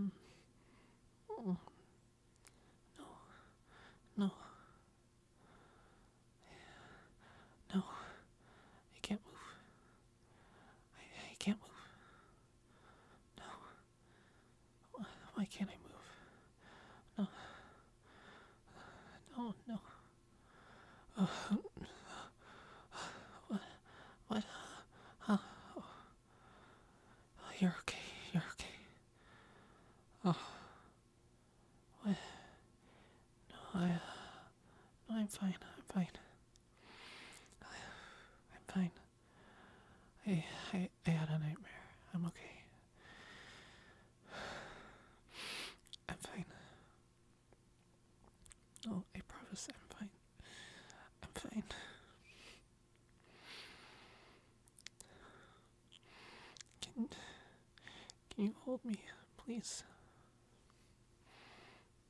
Mm. No. No. No. I can't move. I, can't move. No. Why, can't I move? No. No, no. what? What? Oh. oh. You're okay. You're okay. Oh. What? No, I. no, I'm fine. I'm fine. I, am fine i am fine. I, I had a nightmare. I'm okay. I'm fine. Oh, I promise I'm fine. I'm fine. Can can you hold me, please?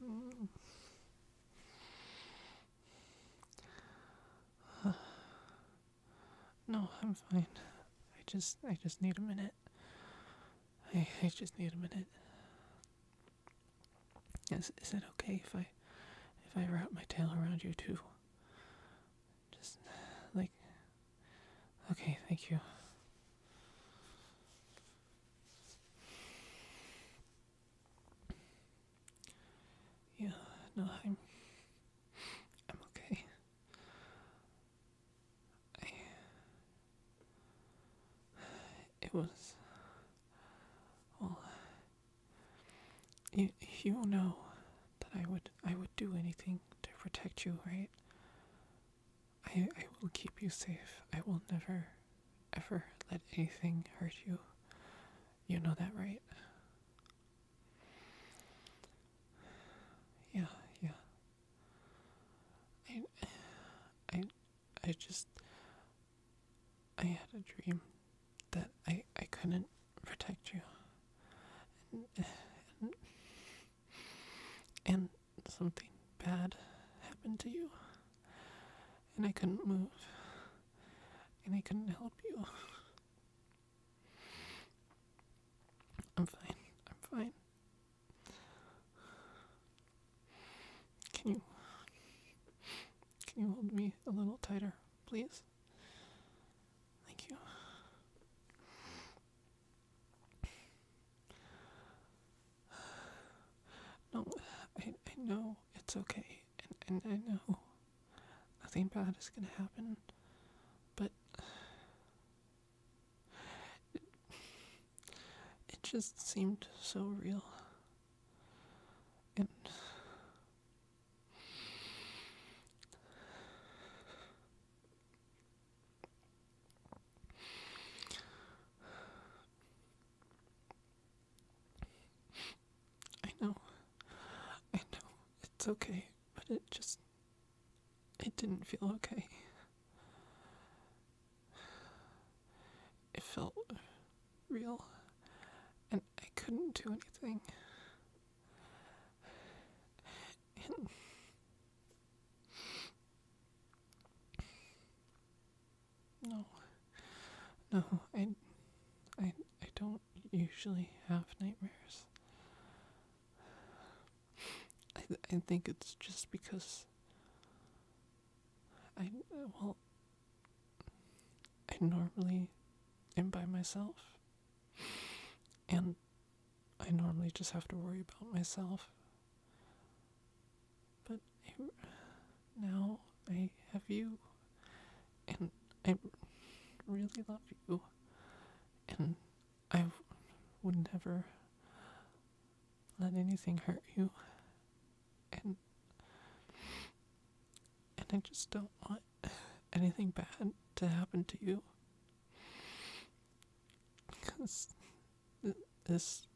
no, I'm fine. I just I just need a minute. I I just need a minute. Is is it okay if I if I wrap my tail around you too? Just like Okay, thank you. Yeah, no, I'm I'm okay. It was. you you know that I would I would do anything to protect you, right? I I will keep you safe. I will never, ever let anything hurt you. You know that, right? Yeah, yeah. I I I just I had a dream that I I couldn't protect you. And, and, something bad happened to you. And I couldn't move. And I couldn't help you. I'm fine. I'm fine. Can you can you hold me a little tighter, please? Thank you. No, I, I know it's okay, and, and I know nothing bad is gonna happen, but it, just seemed so real. And I know, I know, it's okay, but it just it didn't feel okay. It felt real, and I couldn't do anything. no, no, I, I, I don't usually have nightmares. I I think it's just because I well I normally am by myself and I normally just have to worry about myself. But now I have you, and I really love you, and I would never let anything hurt you. And and I just don't want anything bad to happen to you. Cuz this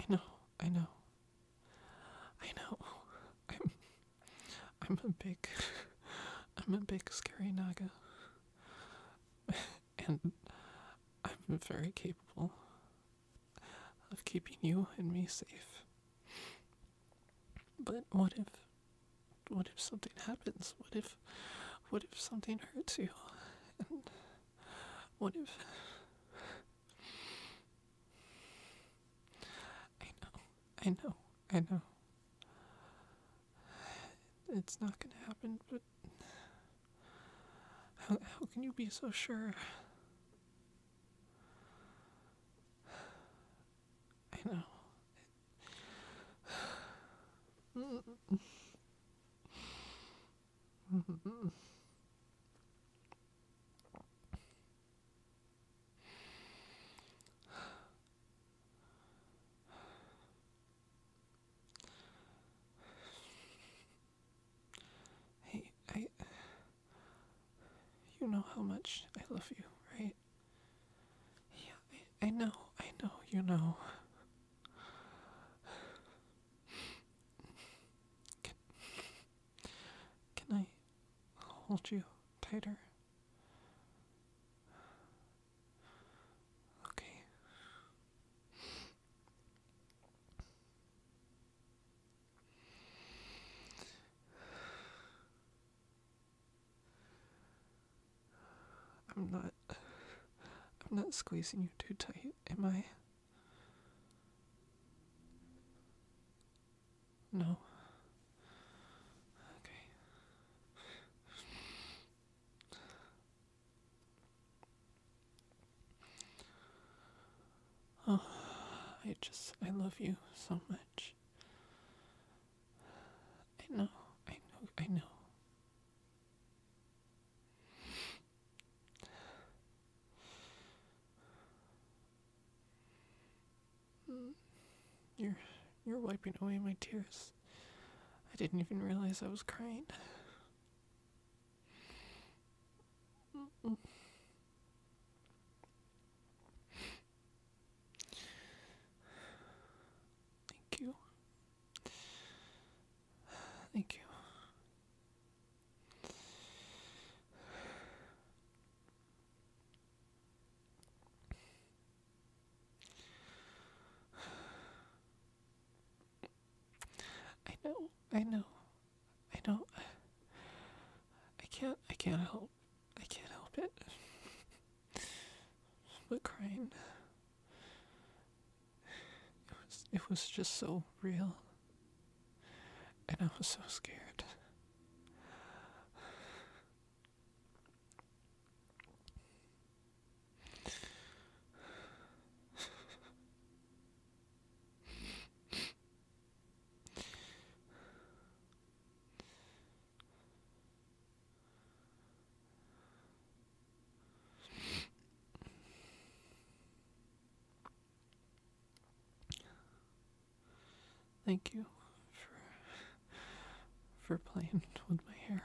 I know, I know. I know. I'm I'm a big I'm a big scary naga. and I'm very capable of keeping you and me safe. But what if what if something happens? What if what if something hurts you? And what if I know, I know, I know. It's not gonna happen, but how, can you be so sure? I know. Hey, I. You know how much I love you, right? Yeah, I, know, I know, you know. Can I hold you tighter? Okay. I'm not I'm not squeezing you too tight, am I? No. Okay. Oh, I just, I love you so much. I know, I know, I know. You're, you're wiping away my tears. I didn't even realize I was crying. Thank you. Thank you. I know, I know, I know. I can't, I can't help, I can't help it. but crying, it was, it was just so real. And I was so scared. Thank you for for playing with my hair.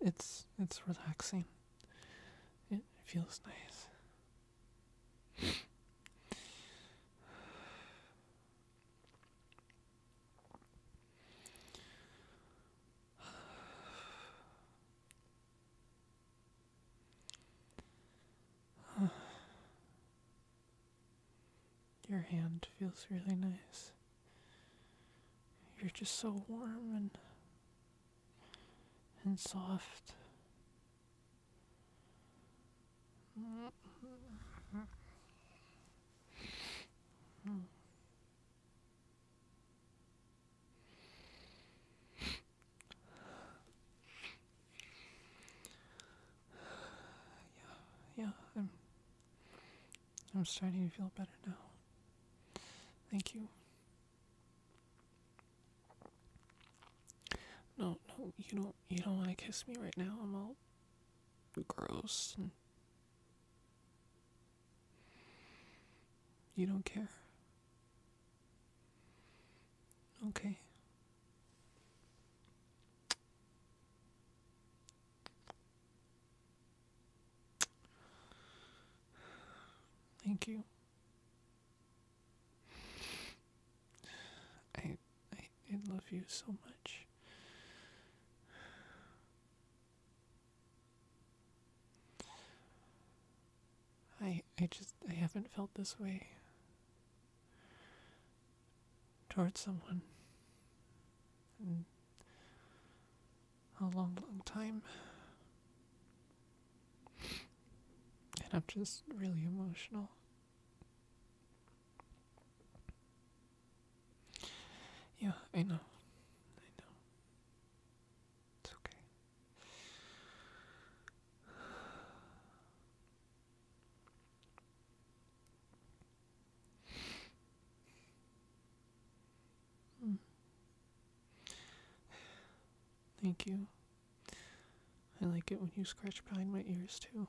It's it's relaxing. It feels nice. Your hand feels really nice. You're just so warm and and soft. Yeah, yeah, I'm I'm starting to feel better now. Thank you. No, no, you don't you don't wanna kiss me right now. I'm all gross you don't care? Okay. Thank you. I I did love you so much. I I just I haven't felt this way towards someone in a long long time. And I'm just really emotional. Yeah, I know. I know. It's okay. Thank you. I like it when you scratch behind my ears, too.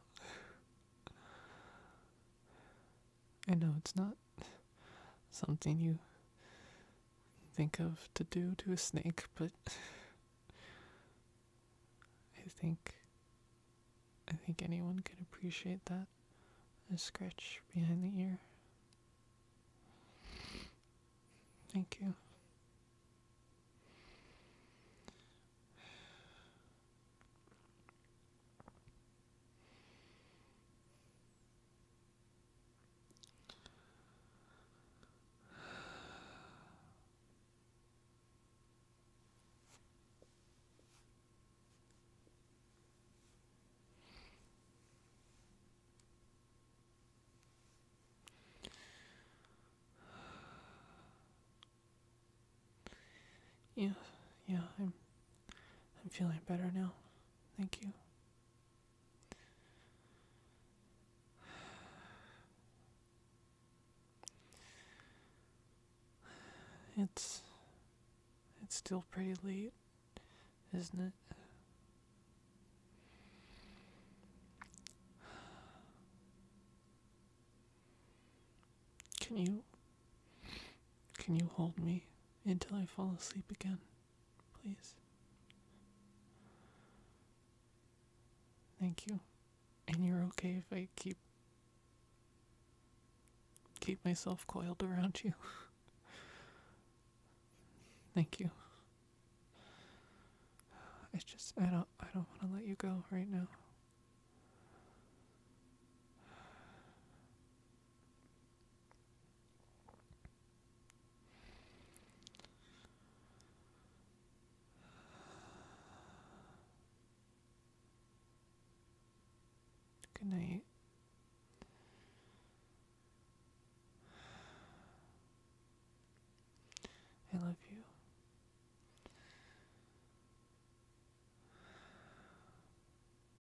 I know it's not something you think of to do to a snake, but I think I think anyone could appreciate that. A scratch behind the ear. Thank you. Yeah, yeah, I'm I'm feeling better now. Thank you. It's it's still pretty late, isn't it? Can you can you hold me until I fall asleep again? Please. Thank you. And you're okay if I keep keep myself coiled around you. Thank you. It's just I don't I don't want to let you go right now. Good night. I love you.